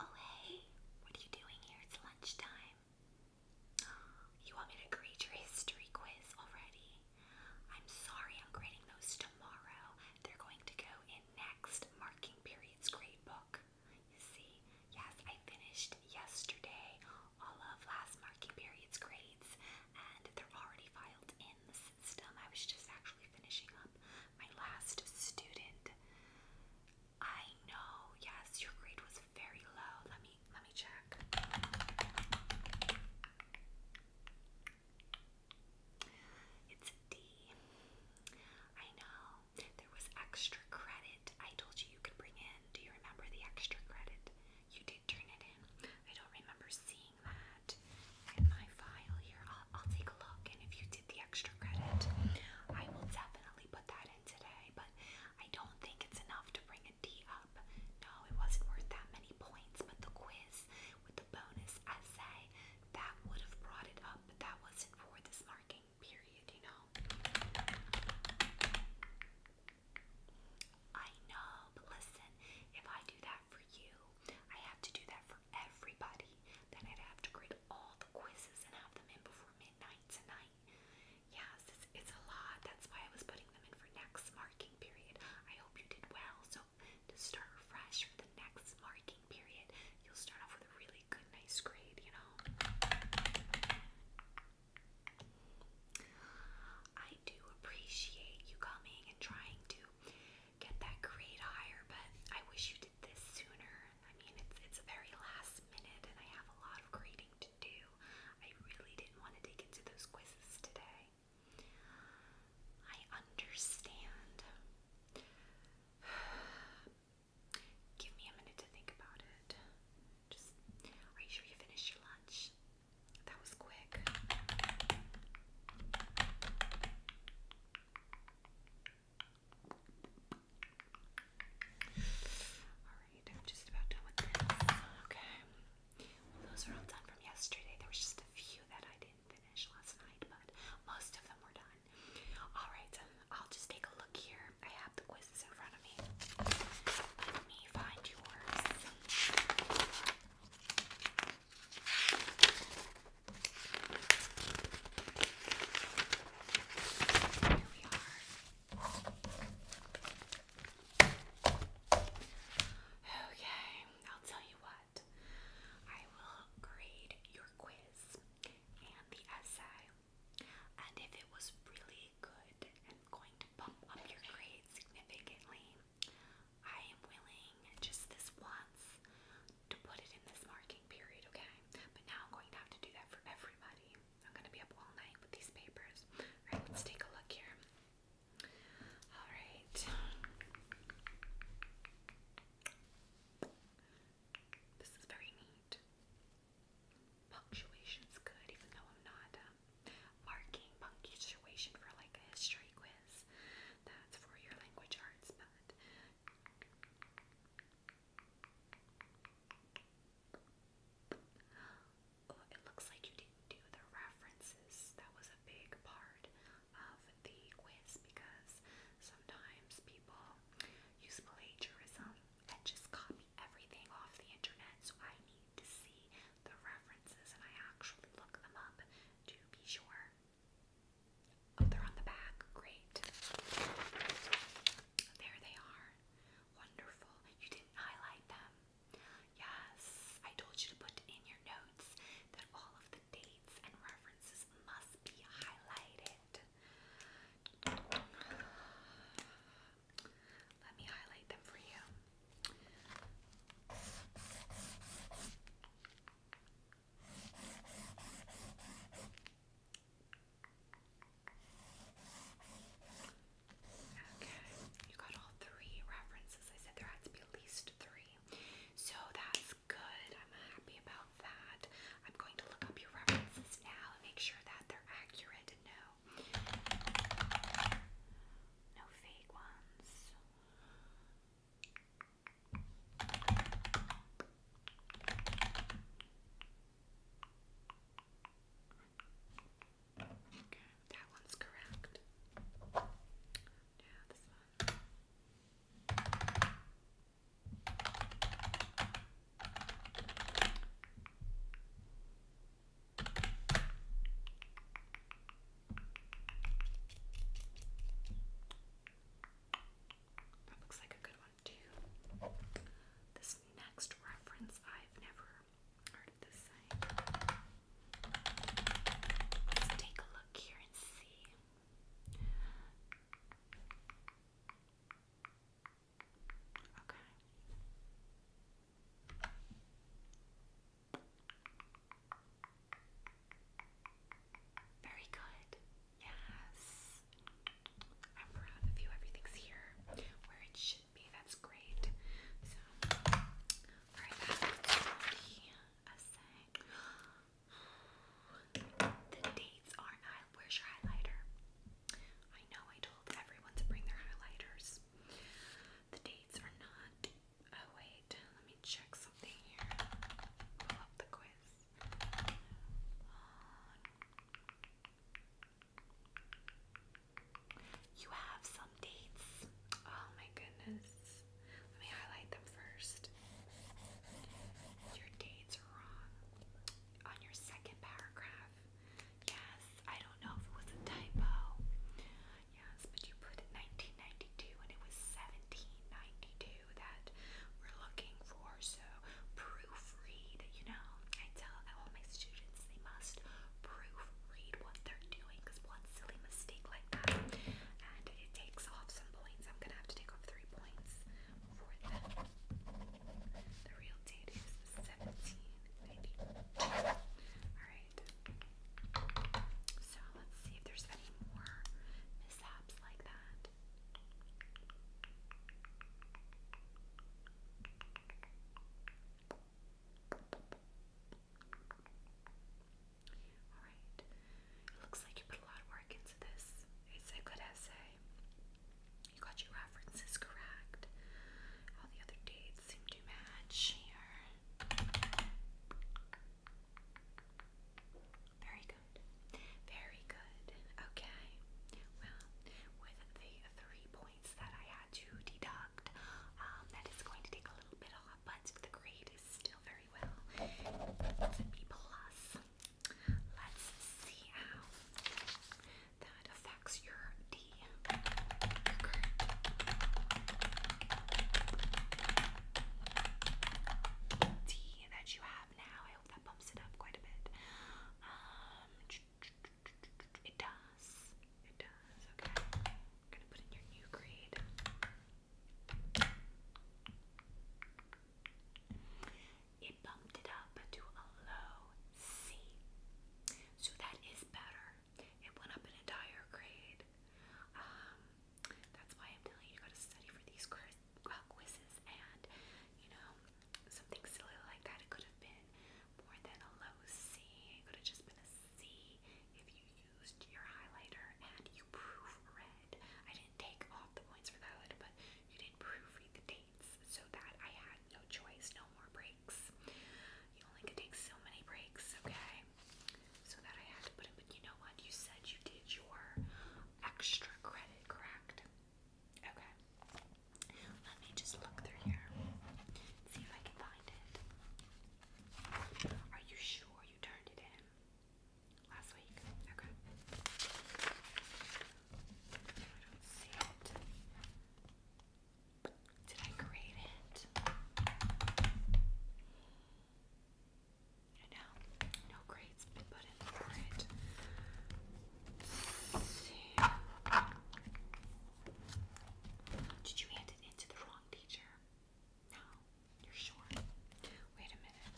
Oh, hey, what are you doing here? It's lunchtime. You want me to grade your history quiz already? I'm sorry, I'm grading those tomorrow. They're going to go in next marking period's grade book. You see, yes, I finished yesterday all of last marking period's grades, and they're already filed in system. I was just actually finishing up my last student. I know, yes, your grade was very low. Let me let me check. It's a D. I know. There was extra credit. I told you you could bring in. Do you remember the extra credit? You did turn it in. I don't remember seeing in my file here. I'll, I'll take a look, and if you did the extra credit, I will definitely put that in today. But I don't think it's enough to bring a D up. No, it wasn't worth that many points. But the quiz with the bonus essay that would have brought it up, but that wasn't for this marking period, you know. I know, but listen, if I do that for you, I have to do that for everybody. Then I'd have to grade all the quizzes and have them in before midnight tonight. Yes, it's, a lot. That's why I was putting them in for next marking period. I hope you did well. So to start fresh for the next marking period, you'll start off with a really good, nice grade, you know? I do appreciate you coming and trying to get that grade higher, but I wish you did this sooner. I mean, it's it's a very last minute, and I have a lot of grading to do. I really didn't want to dig into those quizzes today. I understand. Give me a minute to think about it. Just, are sure you finished your lunch? That was quick. Alright, I'm just about done with this. Okay. those are all done from yesterday. There was just a few that I didn't finish last night, but most of them were done. Alright, I'll just take a look here. I have the quizzes in front Okay, I'll tell you what. I will grade your quiz and the essay. And if it was really good, I'm going bump up your grade significantly. I am willing just this once to put it in this marking period, okay? But now I'm going to have to do that for everybody. I'm going to be up all night with these papers. Right? let's take a look here. Alright. This is very neat. Punctuation's good, even though I'm not um, marking punctuation for like a history quiz. That's for your language arts, but. Oh, it looks like you didn't do the references. That was a big part of the quiz because sometimes people use plagiarism I just copy everything off the internet, so I need to see the references and I actually look them up to be sure. Oh, they're on the back. Great. There they are. Wonderful. You didn't highlight them. Yes, I told you to put in your notes that all of the dates and references must be highlighted. Let me highlight them for you. Okay, you got all three references. I said there had to be at least three. So that's good. I'm happy about that. I'm going to look up your references now and make sure that they're accurate wanted to No fake ones. Okay, that one's correct. Now this one. That looks like a good one, too. This next reference, I've never heard this saying. Let's take a look here and see. Okay. Very good. Yes. I'm proud of you. Everything's here where it should be. That's great. So, alright, that's the essay. The dates aren't Where's your highlighter? I know I told everyone to bring their highlighters. The dates are not. Oh, wait. Let me check something here. Pull up the quiz. you have some dates. Oh my goodness. Let me highlight them first. Your dates are wrong. On your second paragraph. Yes, I don't know if it was a typo. Yes, but you put 1992 and it was 1792 that we're looking for. So proofread, you know. I tell all my students they must proofread what they're doing because one silly mistake like that and it takes off some points. I'm gonna have to take off three points for them. The real date is 1792. Alright. So let's see if there's any more mishaps like that. Alright, it looks like you put a lot of work into this. It's a good essay. You got your references correct. All the other dates seem to match Very good. Very good. Okay. Well, with the three points that I had to deduct, um, that is going to take a little bit off, but the grade is still very Let's see how that affects your D. D that you have now. I hope that bumps it up quite a bit. Um, it does. It does. Okay. gonna put in your new grade. It bumped it up to a low C. So that is better. It went up an entire grade. Um, that's why I'm telling you, you gotta study for these uh, quizzes and, you know, something silly like that. It could have been more than a low C. It could have just been a C you used your highlighter and you proof I didn't take off the points for that, but you did not proofread the dates so that I had no choice, no more breaks. You only could take so many breaks, okay? So that I had to put in, but you know what? You said you did your extra credit, correct? Okay. Let me just look through here. See if I can find it. Are you sure you turned it in? Last week. Okay. I don't see it. Did I create it? No, no grade been put in for it. see. Did you hand it in to the wrong teacher? No, you're sure? Wait a minute.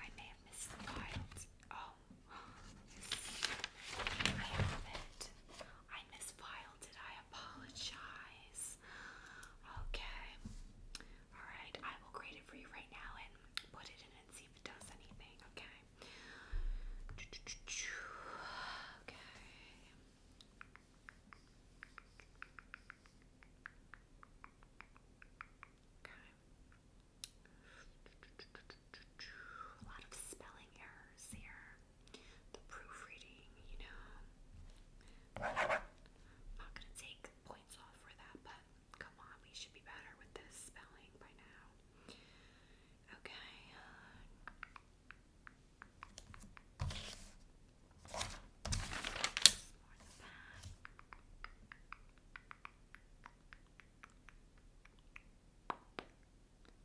I may have missed the files. Oh, I have it. I misfiled it. I apologize. Okay. Alright, I will grade it for you right now and put it in and see if it does anything, okay? Okay. Okay. A lot of spelling errors here. The proofreading, you know. not gonna take points off for that, but come on, we should be better with this spelling by now. Okay.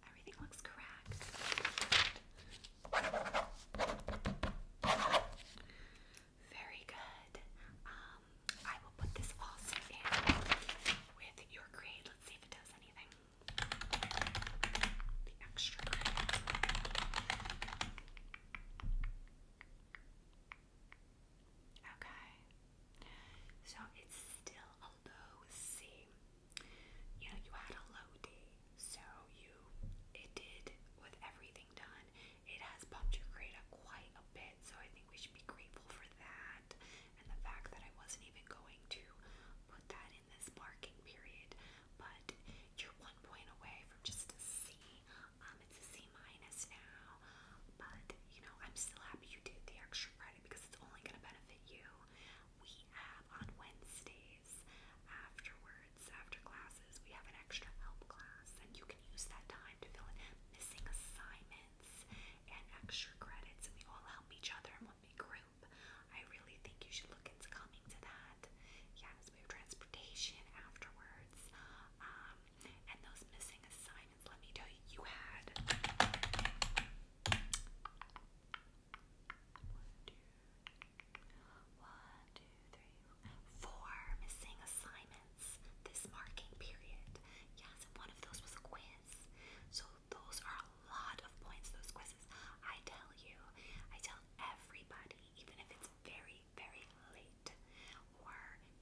Everything looks correct. Very good. Um, I will put this also in with your grade. Let's see if it does anything the Okay, so it's still a low C. You know, you had a low D, so you it did with everything done. It has bumped your grade up quite a bit, so I think we should be grateful for that and the fact that I wasn't even going to put that on in this parking period, but you're one point away from just a C. Um, it's a C minus now, but you know I'm still happy you did the extra credit because it's only going to benefit you. We have on Wednesdays afterwards, after classes, we have an extra help class, and you can use that time to fill in missing assignments and extra credits, and we all help each other in one big group. I really think you should look into coming to that. Yes, we have transportation afterwards. Um, and those missing assignments, let me tell you, you had one, two, one, two, three, four missing assignments this marking period. Yes, and one of those was a quiz. So those are a lot of points, those quizzes. I tell you, I tell everybody, even if it's very, very late, or,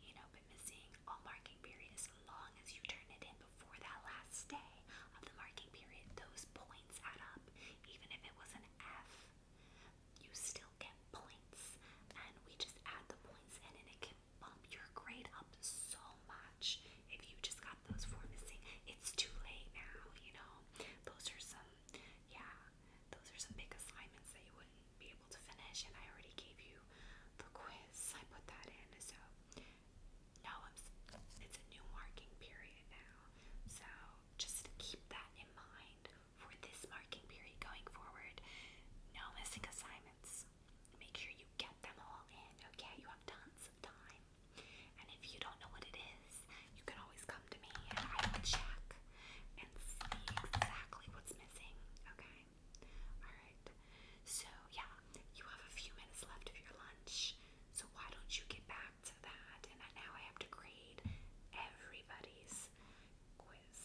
you know, been missing all marking period, as long as you turn it in before that last day of the marking period, those points add up. Even if it was an F, you still get points. And we just add the points in, and it can bump your grade up so much. If you just got those four missing, it's too late now, you know. Those are some, yeah, those are some big assignments that you wouldn't be able to finish, and I already gave you the quiz. I put that in, so no, I'm, it's a new marking period now. So just keep that in mind for this marking period going forward. No missing assignments. Make sure you get them all in, okay? You have tons of time. And if you don't know what it is, you can always come to me and I will check and see exactly what's missing, okay? Alright. So, yeah, you have a few minutes left of your lunch. So, why don't you get back to that? And now I have to grade everybody's quiz.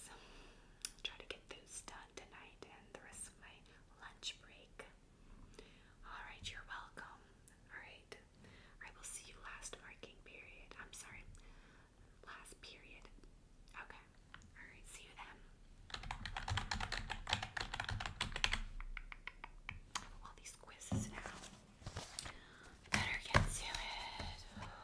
Try to get those done tonight and the rest of my lunch break. All right, you're welcome. All right, I will see you last marking period. I'm sorry, last period. Okay, all right, see you then. All these quizzes now. Better get to it.